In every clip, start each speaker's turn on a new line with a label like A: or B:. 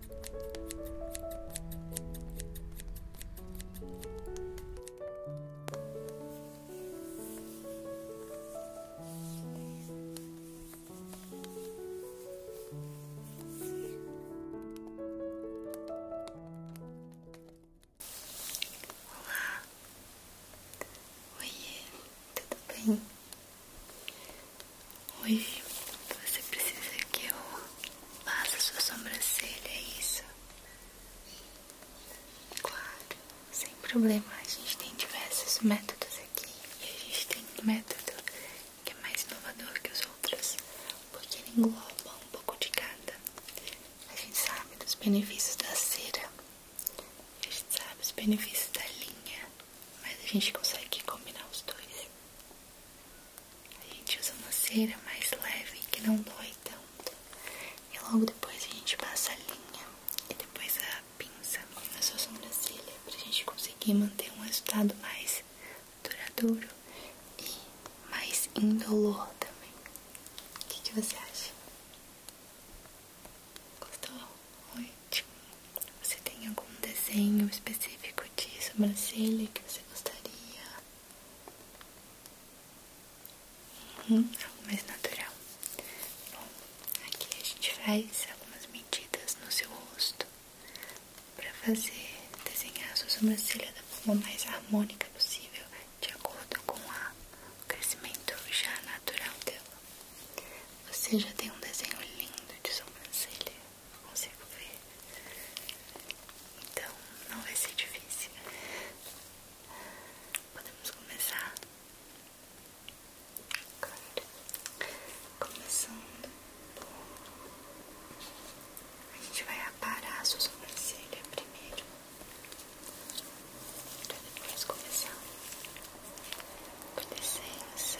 A: Olá, oi, tudo bem? Oi, você precisa que eu Faça sua sobrancelha, é isso. Claro, sem problema. A gente tem diversos métodos aqui. E a gente tem um método que é mais inovador que os outros. Porque ele engloba um pouco de cada. A gente sabe dos benefícios da cera. A gente sabe dos benefícios da linha. Mas a gente consegue combinar os dois. A gente usa uma cera mais leve que não dói tanto. E logo depois a gente passa a linha e depois a pinça na sua sobrancelha pra gente conseguir manter um resultado mais duradouro e mais indolor também. O que, você acha? Gostou? Ótimo! Você tem algum desenho específico de sobrancelha que gostaria? Hum, algo mais natural. Bom, aqui a gente faz algumas medidas no seu rosto para fazer desenhar a sua sobrancelha da forma mais harmônica possível, de acordo com o crescimento já natural dela. Você já tem um desenho lindo de sobrancelha consigo ver. Então não vai ser difícil. Podemos começar? Claro. Começando A gente vai aparar a sua sobrancelha primeiro. Pra depois começar. Por licença.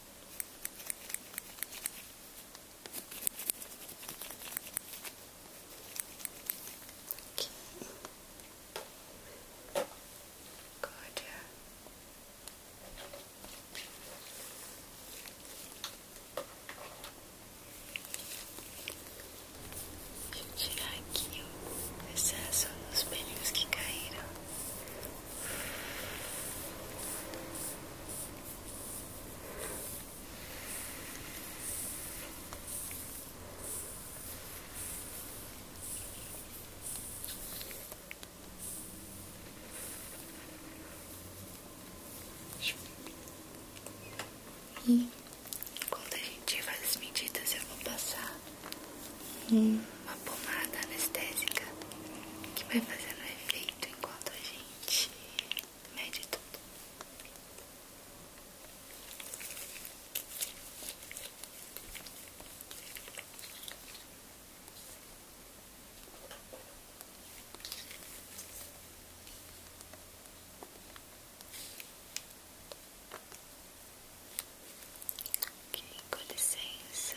A: Aqui. tirar aqui o excesso dos pelinhos que caíram e quando a gente faz as medidas, eu vou passar uma pomada anestésica que vai fazendo efeito enquanto a gente mede tudo. Ok, com licença.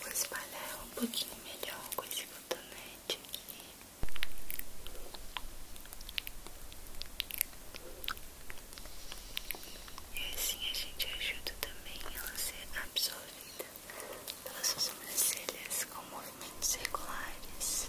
A: Vou espalhar um pouquinho melhor com esse cotonete aqui. E assim a gente ajuda também ela a ser absorvida pelas suas sobrancelhas com movimentos regulares.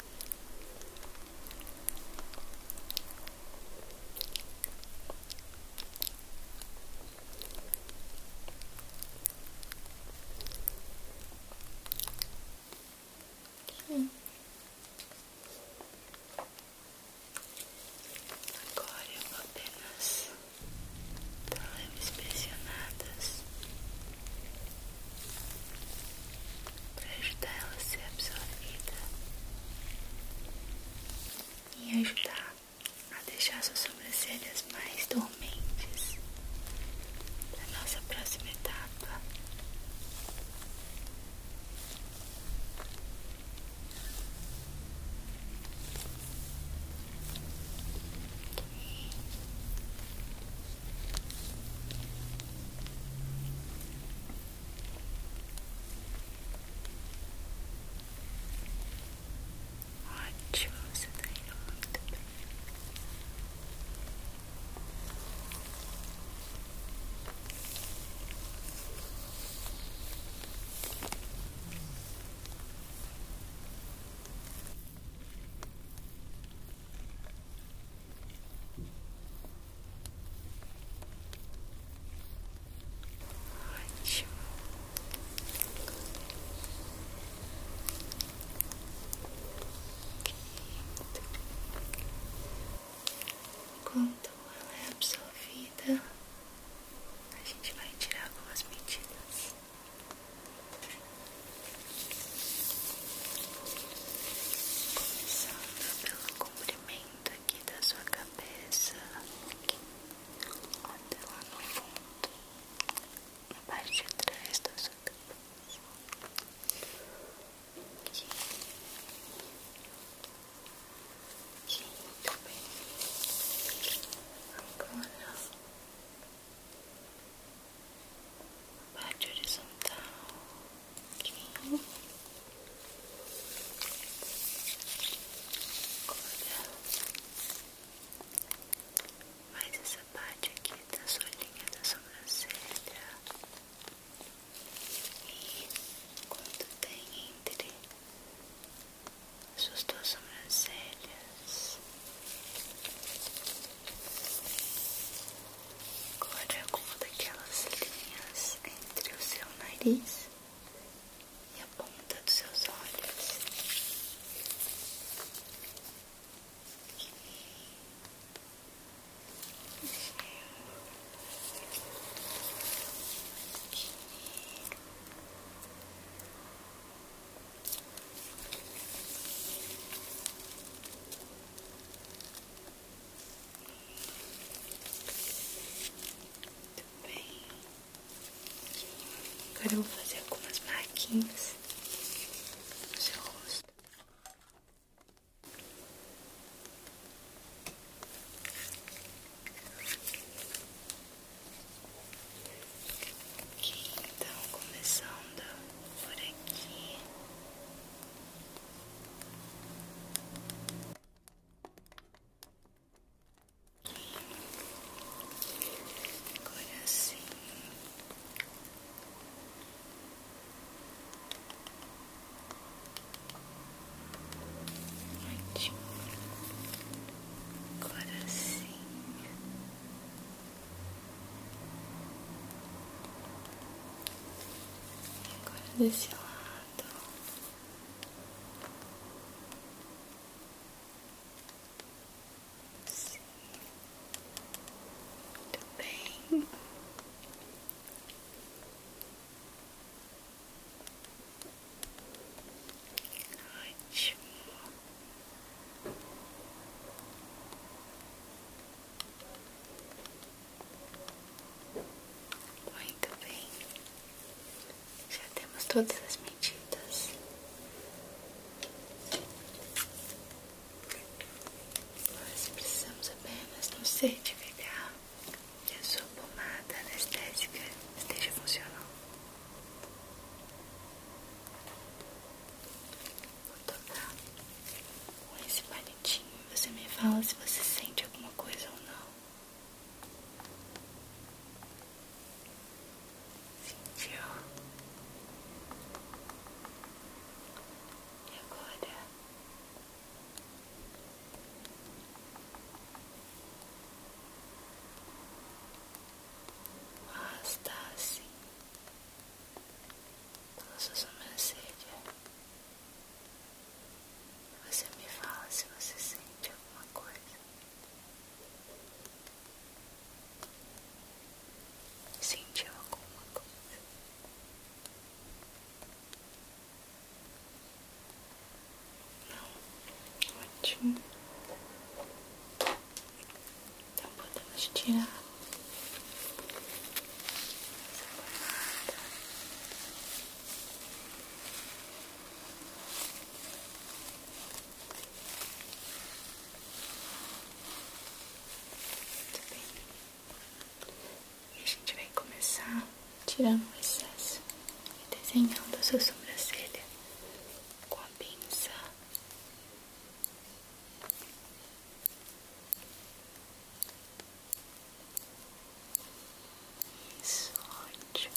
A: Okay. Agora eu apenas dar leves para ajudar ela a ser absorvida e ajudar a deixar suas sobrancelhas mais dormentes na nossa próxima etapa. I chose that I do Ótimo. Quando ela é absorvida, a gente vai tirar algumas medidas. Começando pelo comprimento aqui da sua cabeça, aqui, até lá no fundo, na parte de trás da sua cabeça. Aqui. Aqui, muito bem. Agora parte horizontal aqui, agora mais essa parte aqui da sua linha da sobrancelha e quando tem entre as suas duas sobrancelhas Agora alguma daquelas linhas entre o seu nariz e a ponta dos seus olhos. Muito bem. Agora vou fazer algumas marquinhas no seu rosto. então começando por aqui. Agora sim. Ótimo. Agora sim. E agora desse lado. Sim. Muito bem. Ótimo. Muito bem, já temos todas as medidas. Nós precisamos apenas não nos certificar que a sua pomada anestésica esteja funcionando. Vou tocar com esse palitinho e você me fala se você sente alguma coisa ou não. Sentiu? E agora? Está assim pela sua sobrancelha. Você me fala se você sente alguma coisa. Sentiu alguma coisa? Não, ótimo. Então podemos tirar essa pomada. Muito bem. E a gente vai começar tirando o excesso e desenhando a sua sobrancelha com a pinça. Isso, ótimo.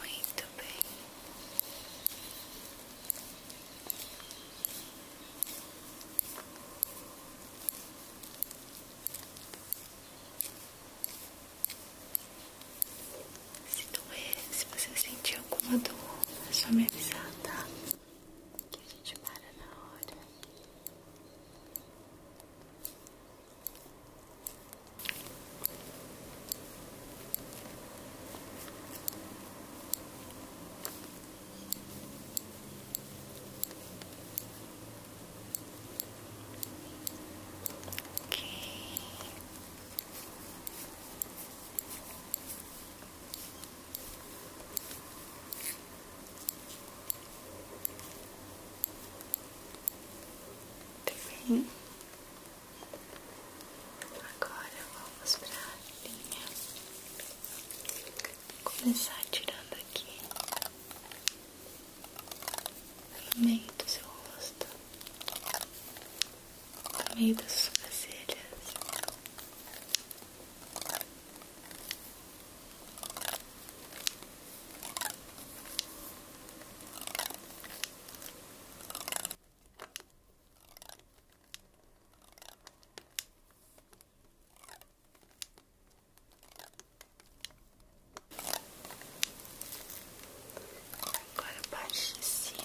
A: Muito bem. Se doer, se você sentir alguma dor, é só me avisar, tá? Que a gente para na hora. Ok. Bem. Agora vamos para linha começar tirando aqui no meio do seu rosto, no meio das sobrancelhas. Agora a parte de cima.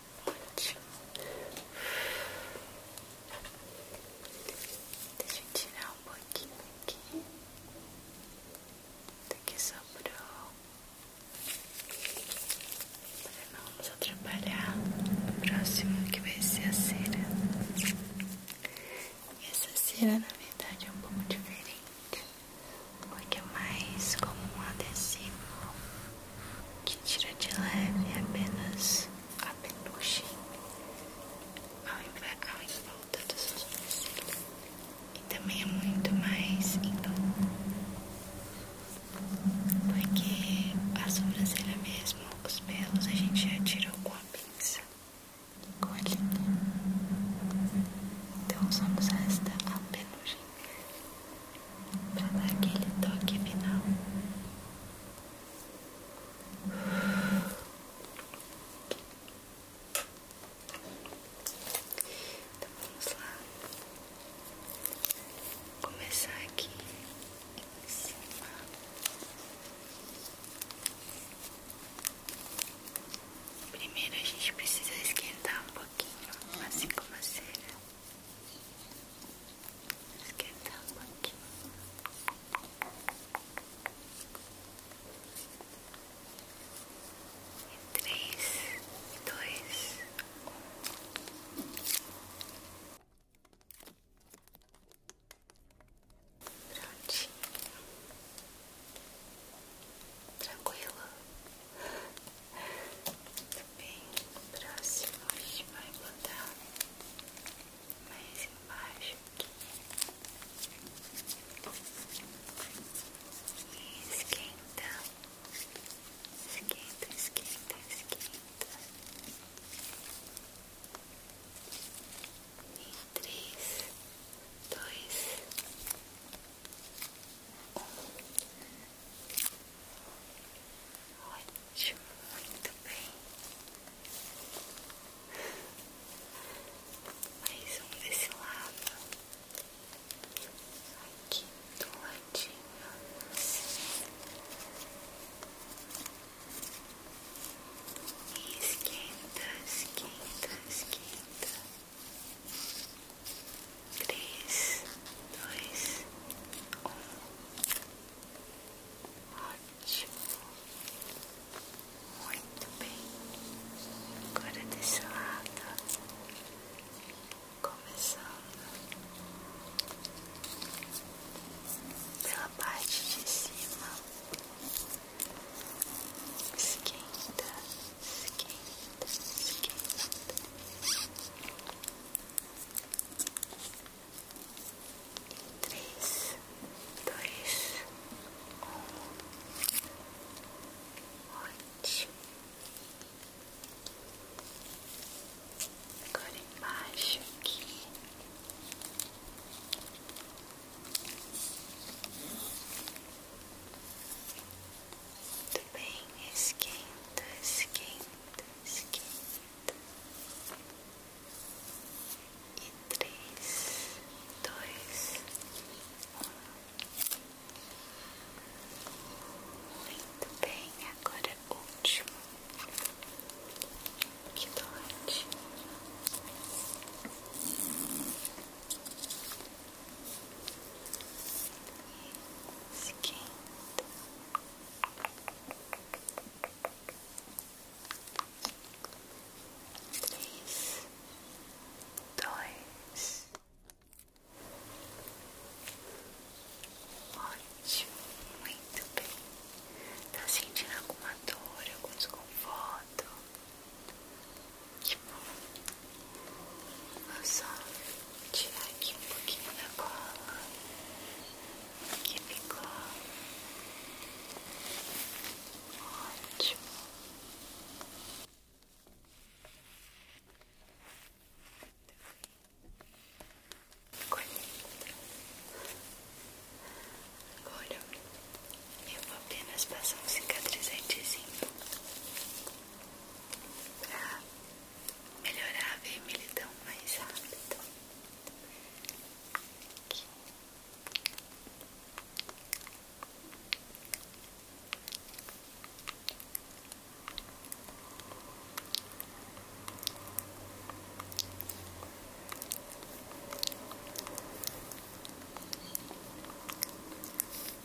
A: Ótimo. Deixa eu tirar um pouquinho aqui. Daqui tá sobrou. Para não nos atrapalhar. no próximo que vai ser a cera. Essa cera, na verdade, é um pouco diferente porque é mais como um adesivo que tira de leve apenas a penugem ao em volta dos sobrancelhos e também é muito mais indolor, porque a sobrancelha mesmo, os pelos a gente já tirou com a pinça com a Então só nos resta penugem para dar aquele toque final. Então vamos lá, começar aqui em cima. Primeiro a gente precisa esquentar um pouquinho pouquinho, assim como a cera. Esquentar um pouquinho. Em três, dois, um. Prontinho bem, próximo a gente vai botar mais embaixo aqui. E esquenta, esquenta, esquenta, esquenta. Em três, dois, Ótimo, muito bem. Mais um desse lado. Aqui do ladinho. esquenta, esquenta, esquenta. Três, dois, um. Ótimo. Muito bem. Agora desse lado. Começando pela parte de cima. Esquenta. Três, dois, um, ótimo. Agora embaixo aqui. Muito muito bem, esquenta, esquenta, esquenta. E três, dois, um. Muito bem, agora o último. Que dote. Esquenta. Três, dois, ótimo, muito bem. Tá sentindo alguma dor, algum desconforto? Que bom. Vou só tirar aqui um pouquinho da cola que ficou ótimo. Ficou lindo. Agora eu vou apenas passar um cicatrizantezinho pra melhorar a vermelhidão mais rápido.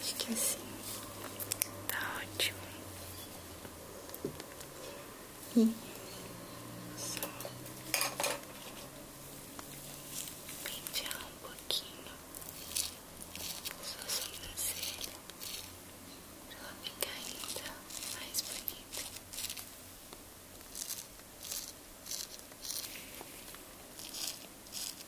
A: Acho que é assim tá ótimo. E só pentear um pouquinho sua sobrancelha pra ela ficar ainda mais bonita. Muito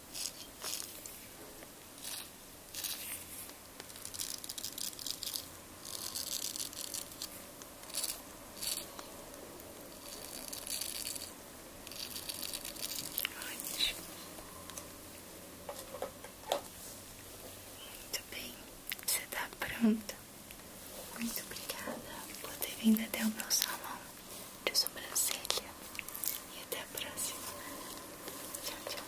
A: bem, você está pronta? Muito obrigada por ter vindo até o meu salão de sobrancelha. E até a próxima. Tchau, tchau.